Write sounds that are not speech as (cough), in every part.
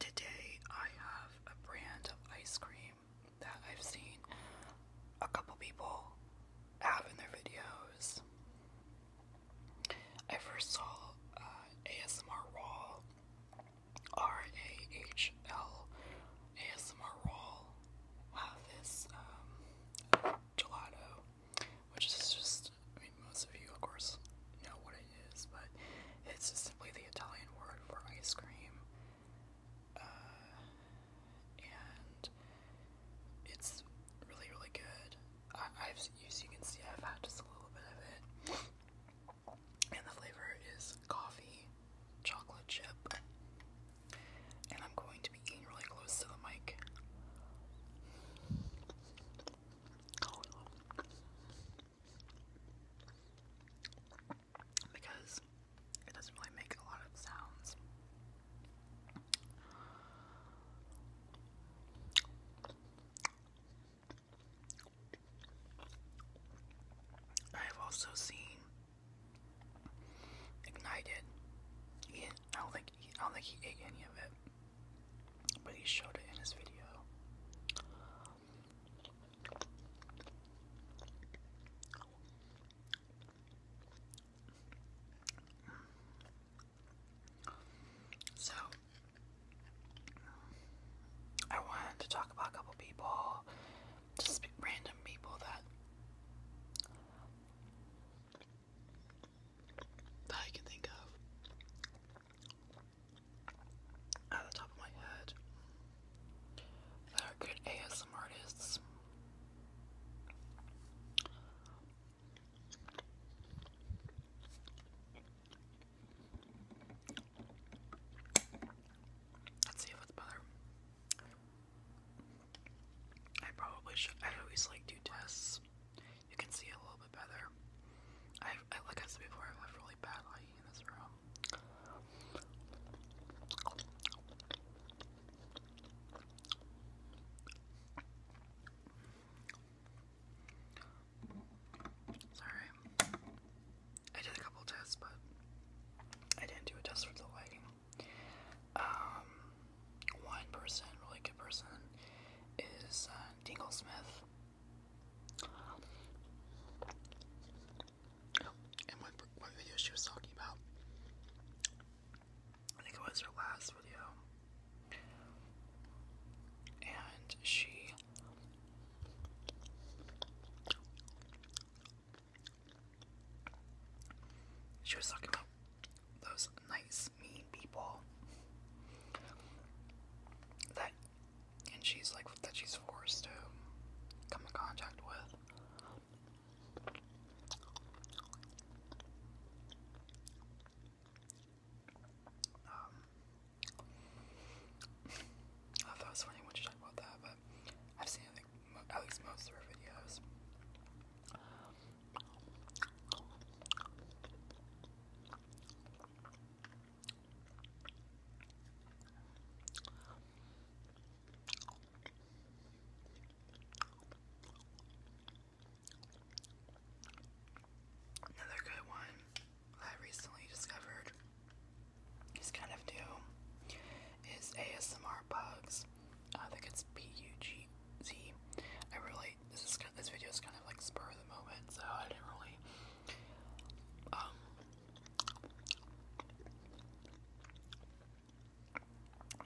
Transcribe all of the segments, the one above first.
Today I have a brand of ice cream that I've seen a couple people have in their videos. I first saw uh, ASMR Raw, R A H L, ASMR Raw have this um, gelato, which is just, most of you, of course, know what it is what it is, but it's just simply the Italian word for ice cream. Uh, and it's really, really good. I, I've, as you can see, I've had just a little bit of it. And the flavor is coffee, chocolate chip. And I'm going to be eating really close to the mic. Oh, because it doesn't really make a lot of sounds. I have also seen ignited. I don't think I don't think he ate any of it, but he showed it in his video. So, I wanted to talk about a couple people, just random people that that I can think of at the top of my head that are good ASM artists. Let's see if it's better. I probably should. I always like do tests you can see a little bit better. I, I like I said before, I have really bad lighting in this room. Sorry. I did a couple tests, but I didn't do a test for the lighting. Um, one person, really good person, is uh, Dingle Smith. And one, one video she was talking about, I think it was her last video, and she she was talking about those nice mean people that and she's like that she's forced to come in contact with. Um, I thought it was funny when she talked about that, but I've seen I at least most of her videos. Another good one I recently discovered is kind of new is ASMR Bugs. I think it's P-U-G-Z. I really, this, is, this video is kind of like spur of the moment, so I didn't really um,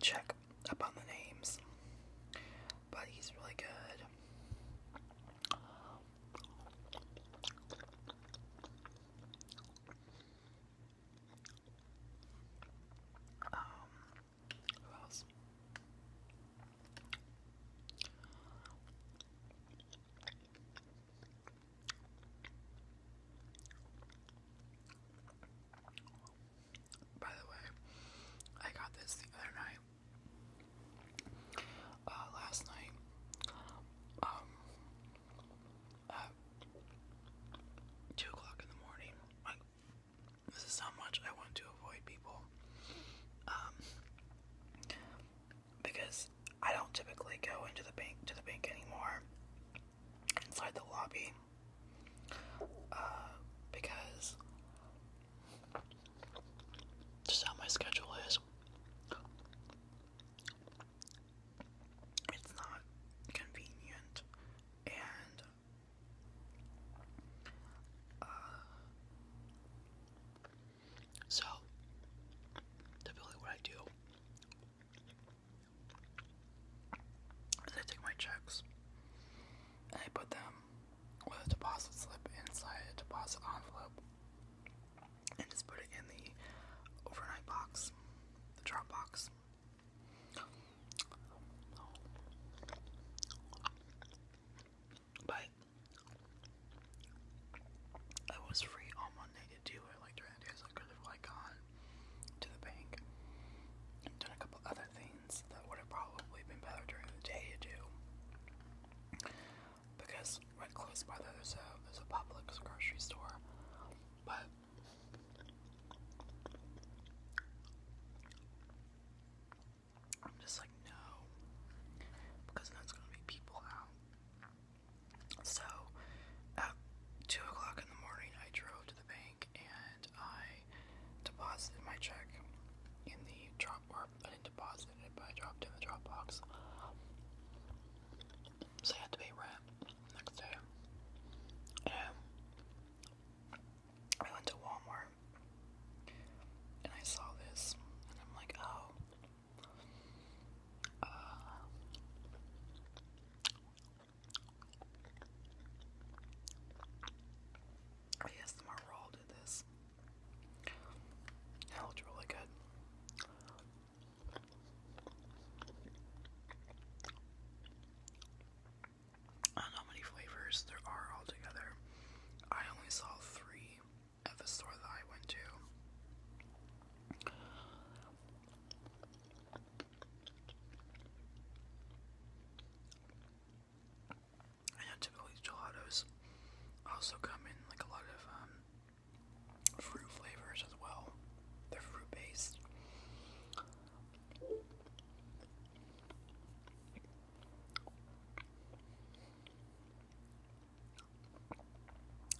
check up on the names, but he's really good. Um, who else? By the way, I got this the other night. Uh, last night, um, at two o'clock in the morning. Like, this is how much I want to avoid people. Um, because I don't typically go into the bank to the bank anymore inside the lobby uh, because just how my schedule is. It's not convenient, and uh, so, typically, what I do is I take my checks I put them with a deposit slip inside a deposit envelope and just put it in the overnight box, the drop box. But I was free on Monday to do it, like during the days I could have like gone to the bank done a couple other things that would have probably been better during the day to do. Because right close by there there's a there's a Publix grocery store. But I'm just like, no, because that's gonna be people out. So at two o'clock in the morning, I drove to the bank and I deposited my check in the drop. Or I didn't deposit it, but I dropped it in the drop box. So I had to pay rent next day. And I went to Walmart and I saw this, and I'm like, oh. yes, I guess did this. That looked really good. I don't know how many flavors there are altogether. I only saw three at the store that I went to. I typically gelatos also come in like a lot of um, fruit flavors as well. They're fruit based.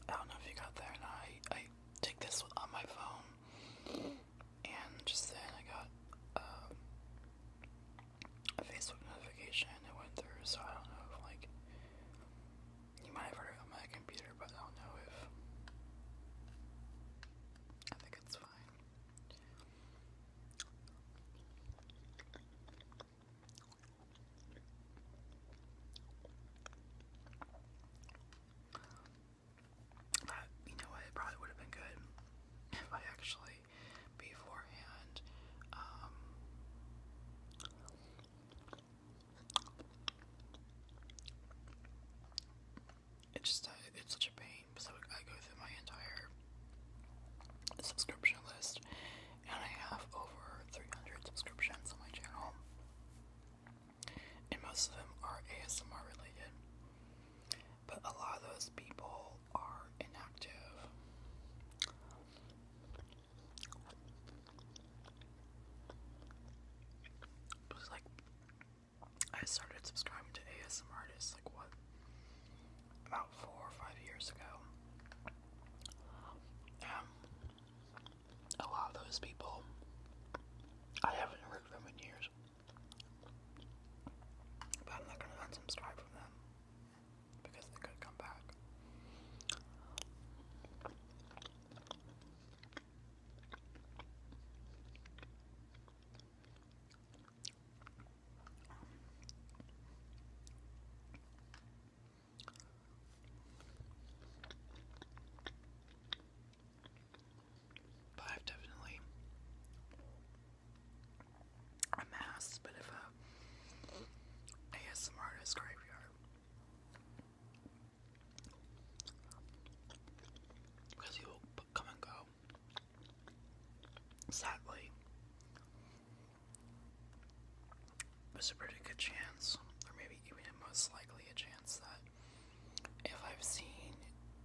I don't know if you got there and I I take this on my phone and just then I got um, a Facebook notification it went through so I don't know like you might have heard it on my computer but I don't know if I think it's fine you know what? It probably would have been good (laughs) if I actually beforehand um, it's just uh, it's such a pain. So I go through my entire subscription list, and I have over 300 subscriptions on my channel, and most of them are ASMR related. But a lot of those people are inactive. It was like I started subscribing to ASMR artists like what about four or five years ago. Um, a lot of those people I haven't heard from in years. But I'm not gonna unsubscribe from them because they could come back. But I've definitely amassed a bit a ASMR artist graveyard. Because he come and go. Sadly, it's a pretty good chance, or maybe even most likely a chance, that if I've seen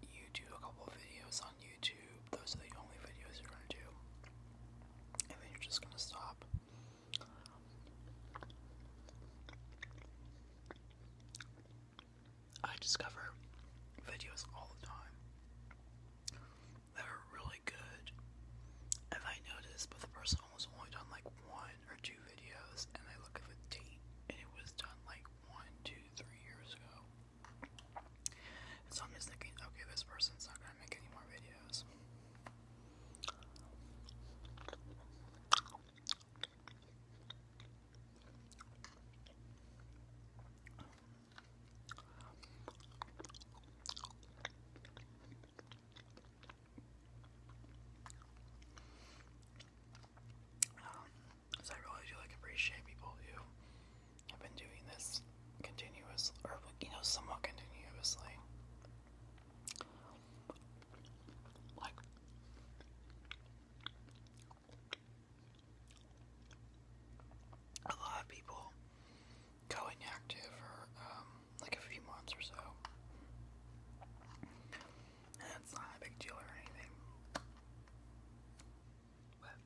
you do a couple videos on YouTube, those are the only videos you're gonna do, and then you're just gonna stop. I discover videos all the time that are really good. And I noticed, but the person was only done like one or two videos, and I look at the date, and it was done like one, two, three years ago. so I'm just thinking, okay, this person's not gonna make any more videos. Um, so I really do like appreciate people who have been doing this continuous, or you know, somewhat continuously a lot of people go inactive for um, like a few months or so. And it's not a big deal or anything. But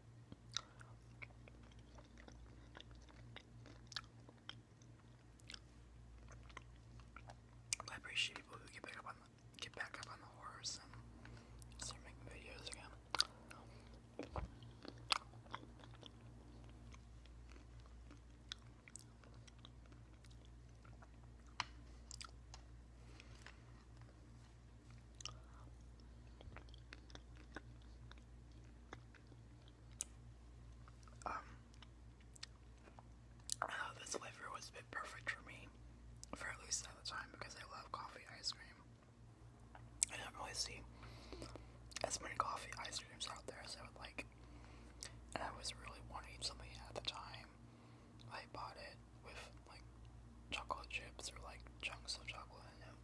I appreciate people who get back up on get back up on the horse and start making videos again. Um, uh, this flavor was a bit perfect for me, for at least at time, because I love coffee ice cream. I don't really see as many coffee ice creams out there as I would like. And I was really wanting something at the time. I bought it with like chocolate chips or like chunks of chocolate in it.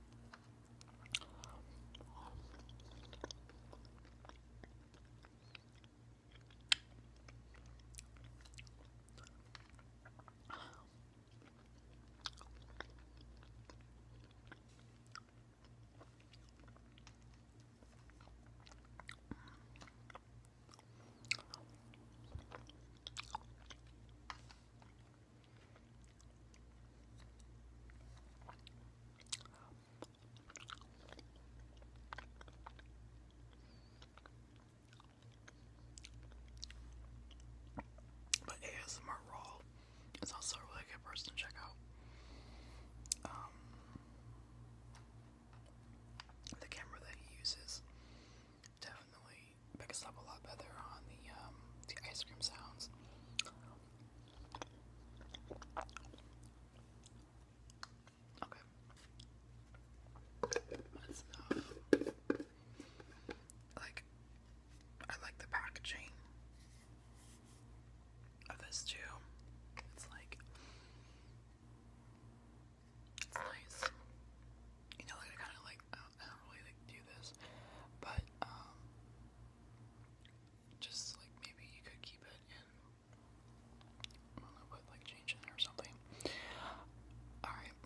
But ASMR Raw it's also a really good person to check out. Um, the camera that he uses definitely picks up a lot better on the um, the ice cream sounds. Okay. Like, I like the packaging of this too. It's like it's nice. You know, like I kind of like I don't, really do this, but um, just like maybe you could keep it in. I know, but like change or something. All right.